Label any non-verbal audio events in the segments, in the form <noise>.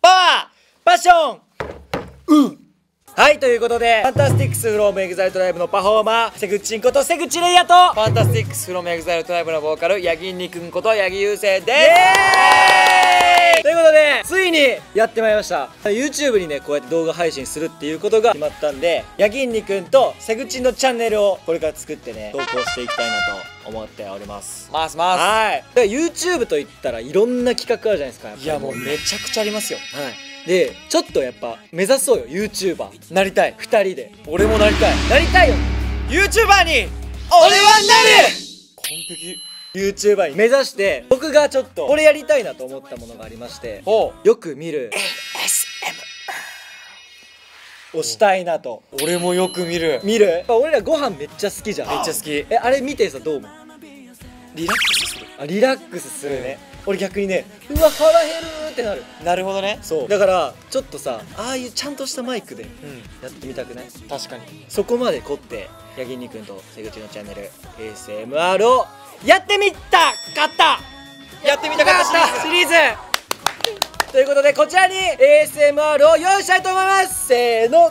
パワーパッションうんはい、ということで、ファンタスティックスフロームエグザイルトライブのパフォーマー、セグチンことセグチレイヤと、ファンタスティックスフロームエグザイルトライブのボーカル、ヤギンニくんことヤギユウセイですということで、ついにやってまいりました。YouTube にね、こうやって動画配信するっていうことが決まったんで、ヤギンニくんとセグチンのチャンネルをこれから作ってね、投稿していきたいなと思っております。ますますはいはいだから YouTube といったらいろんな企画あるじゃないですかいやもうめちゃくちゃありますよはいでちょっとやっぱ目指そうよ YouTuber なりたい2人で俺もなりたいなりたいよ YouTuber に俺はなる完璧 YouTuber に目指して僕がちょっとこれやりたいなと思ったものがありましてよく見る ASMR をしたいなと俺もよく見る見る俺らご飯めっちゃ好きじゃんめっちゃ好きえあれ見てさどう思うリラックスするあリラックスするね、俺逆にねうわ腹減るってなるなるほどねそうだからちょっとさああいうちゃんとしたマイクでやってみたくない、確かにそこまで凝って八木にくんと瀬口のチャンネル ASMR をやってみたかったやってみたかったシリーズということでこちらに ASMR を用意したいと思いますせーの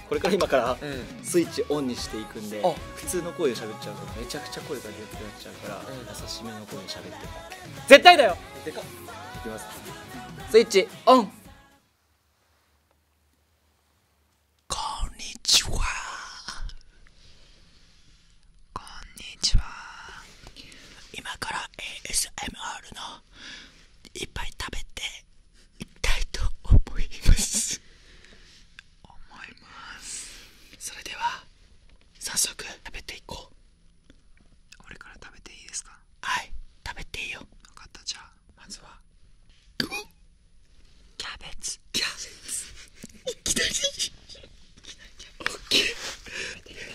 これから今からスイッチオンにしていくんで、普通の声で喋っちゃうとめちゃくちゃ声がでかくなっちゃうから、優しめの声で喋って絶対だよいきますスイッチオンこんにちはこんにちは今から ASMR のいっぱい食べていたいと思います思いますそれでは早速食べていこう俺から食べていいですかはい食べていいよ分かったじゃまずはキャベツキャベツいきないきなきい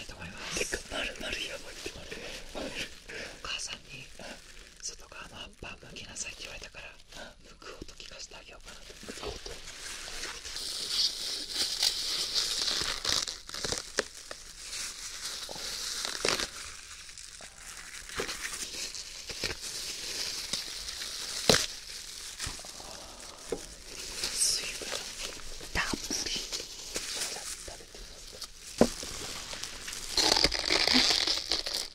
とるまるやお母さんに外側の葉っぱ剥きなさいって言われたから剥く音聞かせてあげようかなと水分たっぷりてみますかキ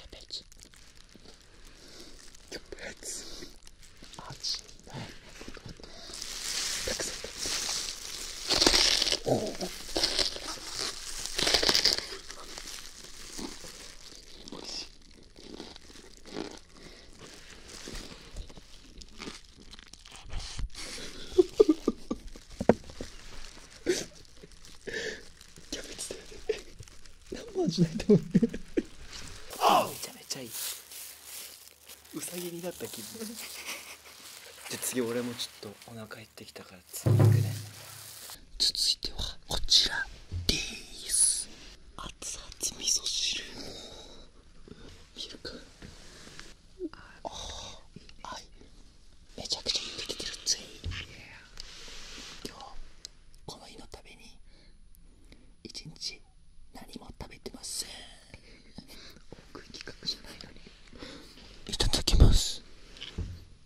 ャベしめちゃめちゃいいうさぎになった気分じゃ次俺もちょっとお腹減ってきたから次行くね続いてはこちらです熱々味噌汁ミルクああはいめちゃくちゃ今日この日のために一日何も食べてません食い企画じゃないのにいただきます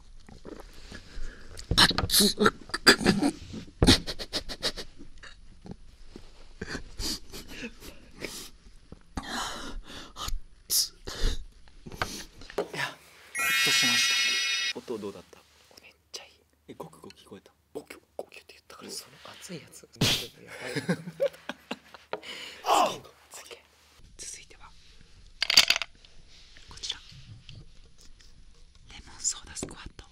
熱く熱いやほっとしました音どうだっためっちゃいいえごくごく聞こえたごきょごきょって言ったからその熱いやつやばい次続いてはこちらレモンソーダスクワット、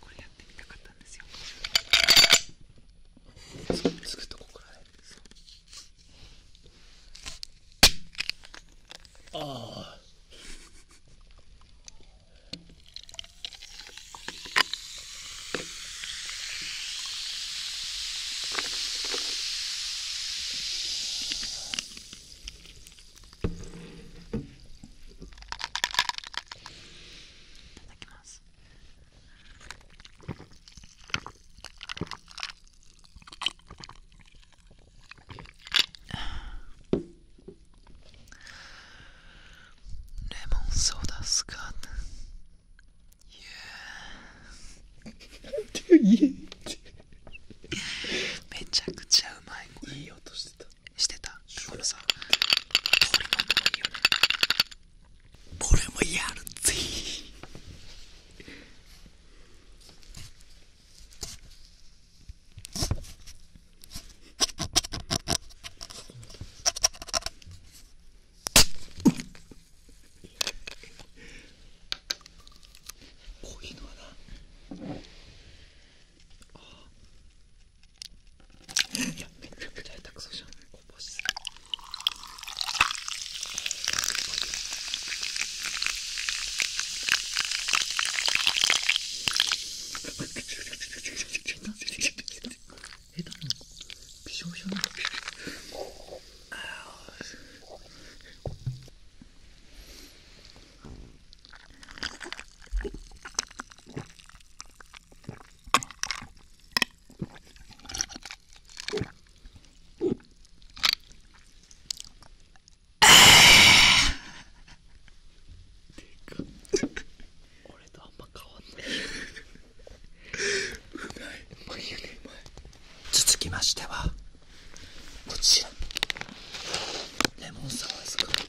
これやってみたかったんですよすぐとここからねああレモンソーダスカート <laughs> めちゃくちゃうまいこれしてたしてこのさ通りの音もいいよね俺もやるぜこういうのはなああいやめちゃくちゃ下手くそじゃんこぼし下手なのびしょびなの <laughs> 俺とあんま変わんない、うまいよねうまい続きましてはこちらレモンサワーズクカー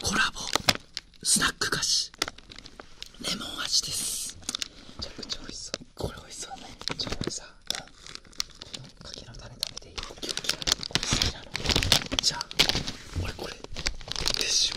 トコラボスナック菓子レモン味ですめちゃくちゃ美味しそうこれ美味しそうねちゃくちゃ美味しう柿の種食べていいよキュッキュッこなのじゃあ俺これでしょ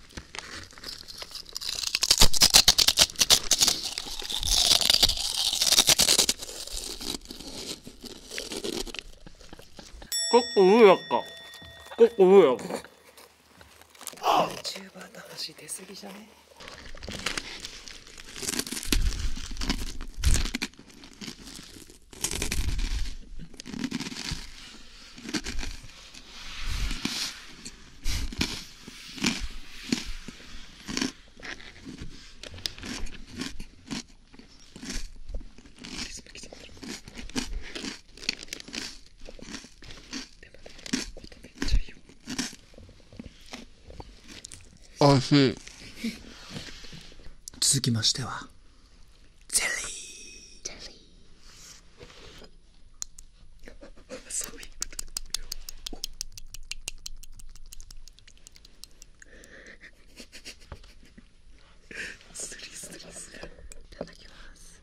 ここ上やっかここ上やっか y o u t u の話出過ぎじゃねおいしい続きましてはゼリー <laughs> そういうことだスリスリスいただきます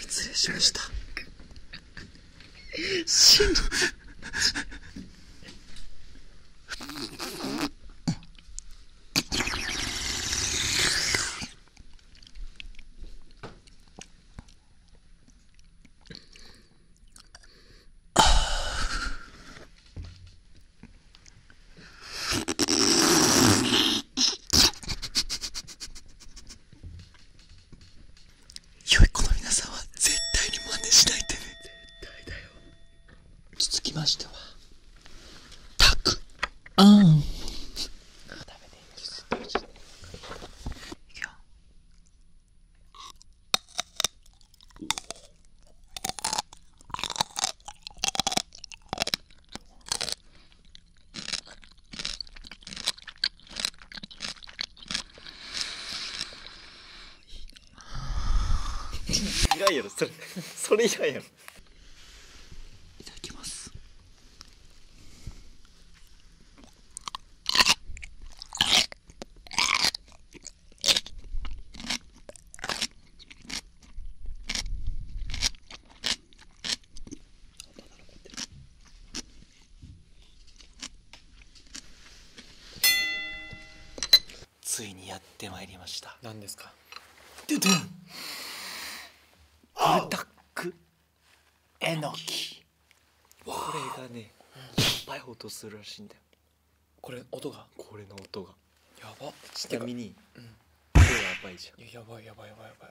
失礼しました。しんど。良い子の皆さんは絶対に真似しないでね絶対だよ続きましてはたくあんていいいらんやろそれそれいらやろいただきますついにやってまいりました何ですかドタックえのきこれがねいっぱい音するらしいんだよこれ音がこれの音がやばちなみに、やばいやばいやばいやばいやばい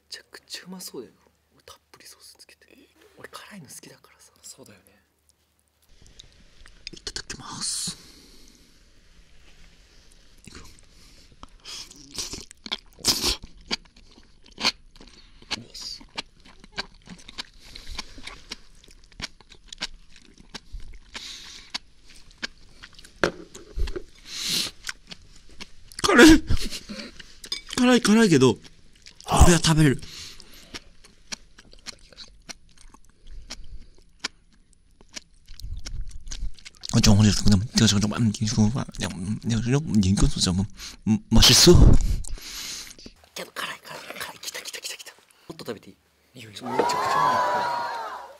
ちゃくちゃうまそうだよたっぷりソースつけて俺辛いの好きだからさそうだよねいただきます辛い。辛い、辛いけど、これは食べれる。정원에그냥제가지금좀안기고그냥내가지금인근수좀맛있어계속가라가라가라기타기타기타기타옷도다비티이거진짜진짜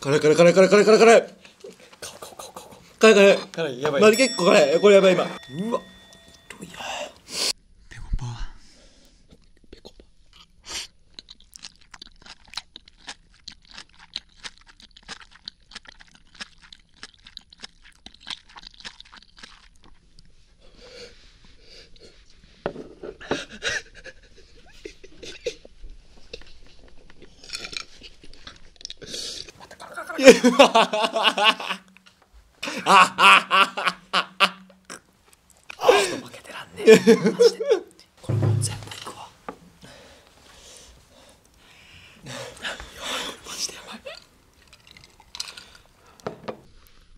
辛い辛い辛い辛い辛い辛い辛い辛い辛い辛いやばいマジ結構辛いこれやばい今うわどうやペコパペコパあ <laughs> 負けてらんねえマジでこれもう全部いくわやばいマジでやばい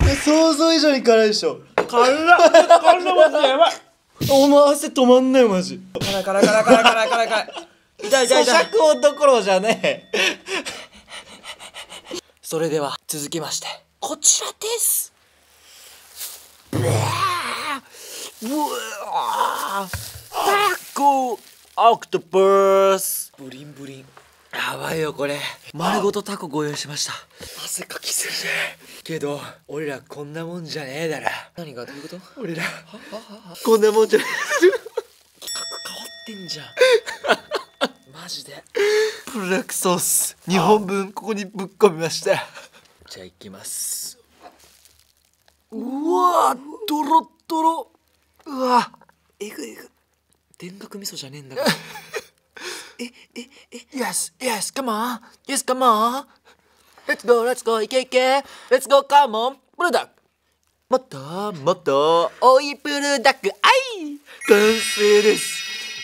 想像以上に辛いでしょ辛っ辛っマジでやばいお前汗止まんないマジ辛い辛い辛い辛い辛い辛い辛い痛い痛い痛い咀嚼音どころじゃねえそれでは続きましてこちらですうわータコオクトパスブリンブリンやばいよこれ丸ごとタコご用意しました汗かきするけど俺らこんなもんじゃねえだろ何がどういうこと俺らこんなもんじゃ企画変わってんじゃんマジでブラックソース2本分ここにぶっ込みましたじゃあいきますうわとろとろうわえぐいぐ田楽味噌じゃねえんだから <laughs> えええ Yes Yes Come on Yes Come on プルダクもっともっとおいプルダックあい完成です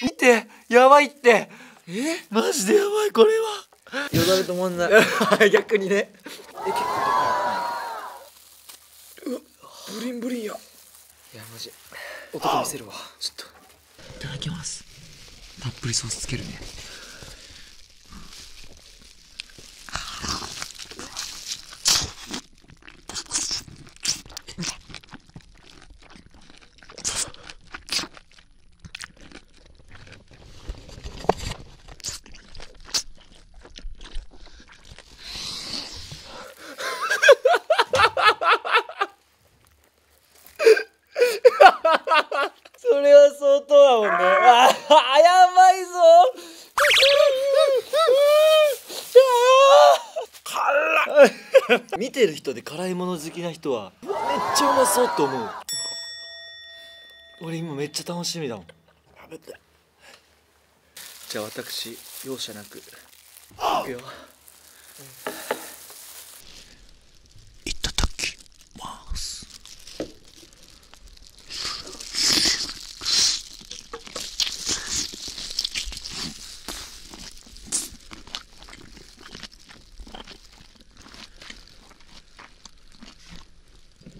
見てやばいってえマジでやばいこれはよだれともんな <laughs> 逆にね結構でかいブリンブリンやいやマジ男見せるわちょっといただきますたっぷりソースつけるねそれは相当だもんねあやばいぞ辛い見てる人で辛いもの好きな人はめっちゃうまそうと思う俺今めっちゃ楽しみだもん食べてじゃあ私容赦なく行くよ、いただきます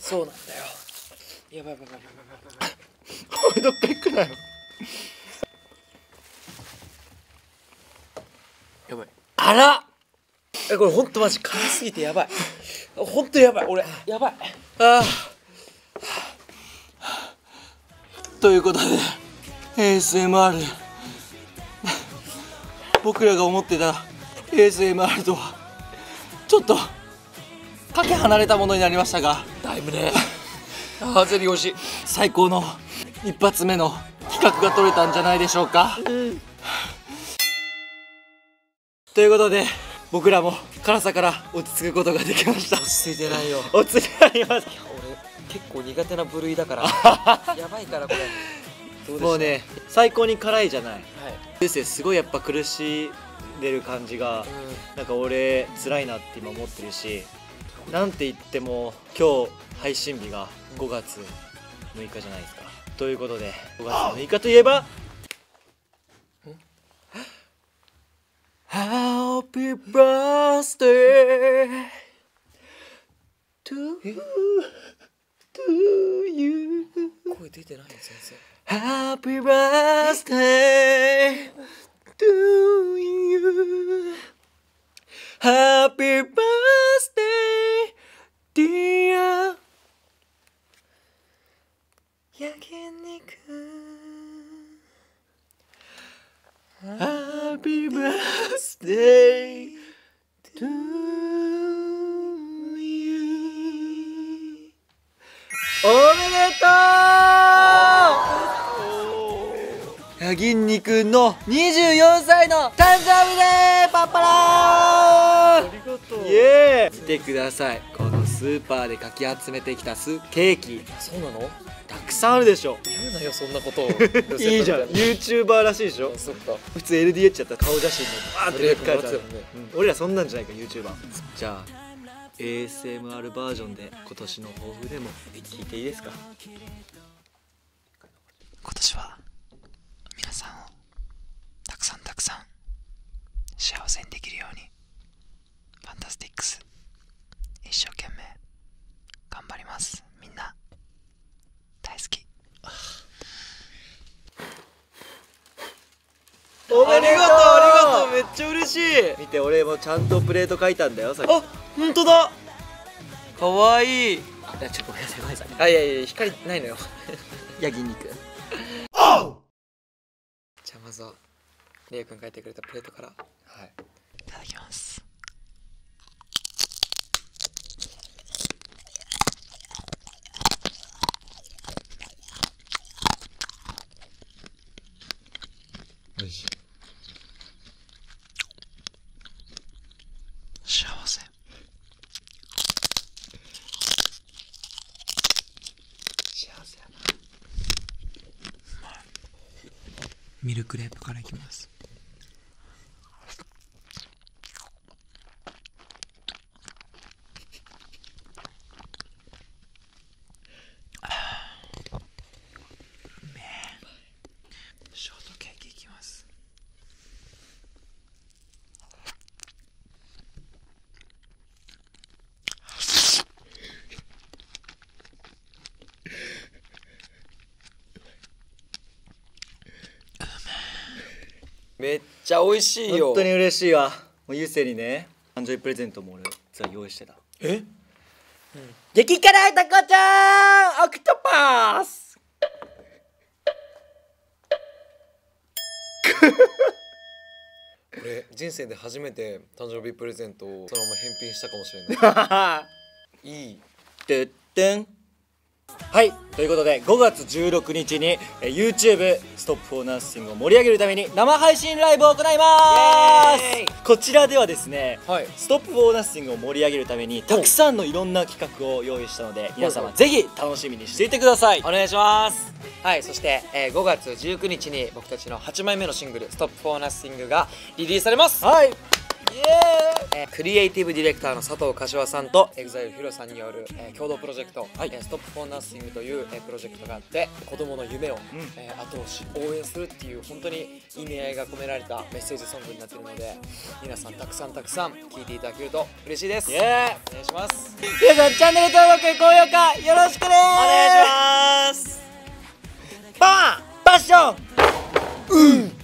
そうなんだよやばいやばいやばいやばいあらえこれほんとマ辛すぎてやばいほんやばい俺やばいああということで ASMR 僕らが思ってた ASMR とはちょっとかけ離れたものになりましたがだいぶねあゼリー美し最高の一発目の企画が取れたんじゃないでしょうか、ということで僕らも辛さから落ち着くことができました落ち着いてないよ落ち着いてないよ結構苦手な部類だから <laughs> やばいからこれもうね最高に辛いじゃない、は生すごいやっぱ苦しんでる感じが、うなんか俺辛いなって今思ってるしなんて言っても今日配信日が5月6日じゃないですか、ということで5月6日といえば「Happy b r t h d a y to y u 声出てない先生 <laughs> Happy birthday to you Happy birthday dear Happy birthday to you おめでとうヤギンニ君の24歳の誕生日でパパラありがとうイエーイてくださいこのスーパーでかき集めてきたスケーキそうなのたくさんあるでしょ言うなよそんなこと <laughs> いいじゃない。ユーチューバーらしいでしょそっか普通 LDH やったら顔写真もバーってでっかいやつ、ね、う俺らそんなんじゃないか YouTuber じゃあ ASMR バージョンで今年の抱負でも聞いていいですか今年は皆さんをたくさんたくさん幸せにできるようにファンタスティックス一生懸命頑張りますみんな大好きありがとうありがとうめっちゃ嬉しい見て俺もちゃんとプレート書いたんだよさっあ本当だかわいいあちょっとごめんなさいごめんなさいあいやいや光ないのよヤギ肉じゃまずはレ君書いてくれたプレートからはいいただきますよし幸せ幸せやな、まあ、ミルクレープからいきますめえショートケーキいきますめっちゃ美味しいよ本当に嬉しいわもうゆうせいにね誕生日プレゼントも俺実は用意してたえ、うん、激辛タコちゃんオクトパス俺人生で初めて誕生日プレゼントをそのまま返品したかもしれない <laughs> いいてってんはい、ということで5月16日に、え YouTube ストップフォーナンシングを盛り上げるために生配信ライブを行いますこちらではですね、はい、ストップフォーナンシングを盛り上げるためにたくさんのいろんな企画を用意したので皆様ぜひ楽しみにしていてくださいお願いしますはいそして、え5月19日に僕たちの8枚目のシングル「ストップフォーナンシングがリリースされますイエーイ、えクリエイティブディレクターの佐藤柏さんとひろさんによる、え共同プロジェクト、はいえー、ストップフォーナッシンという、えプロジェクトがあって子供の夢を、え後押し応援するっていう本当に意味合いが込められたメッセージソングになっているので皆さんたくさんたくさん聴いていただけると嬉しいですイエーお願いします皆さんチャンネル登録高評価よろしくねお願いしますパパッション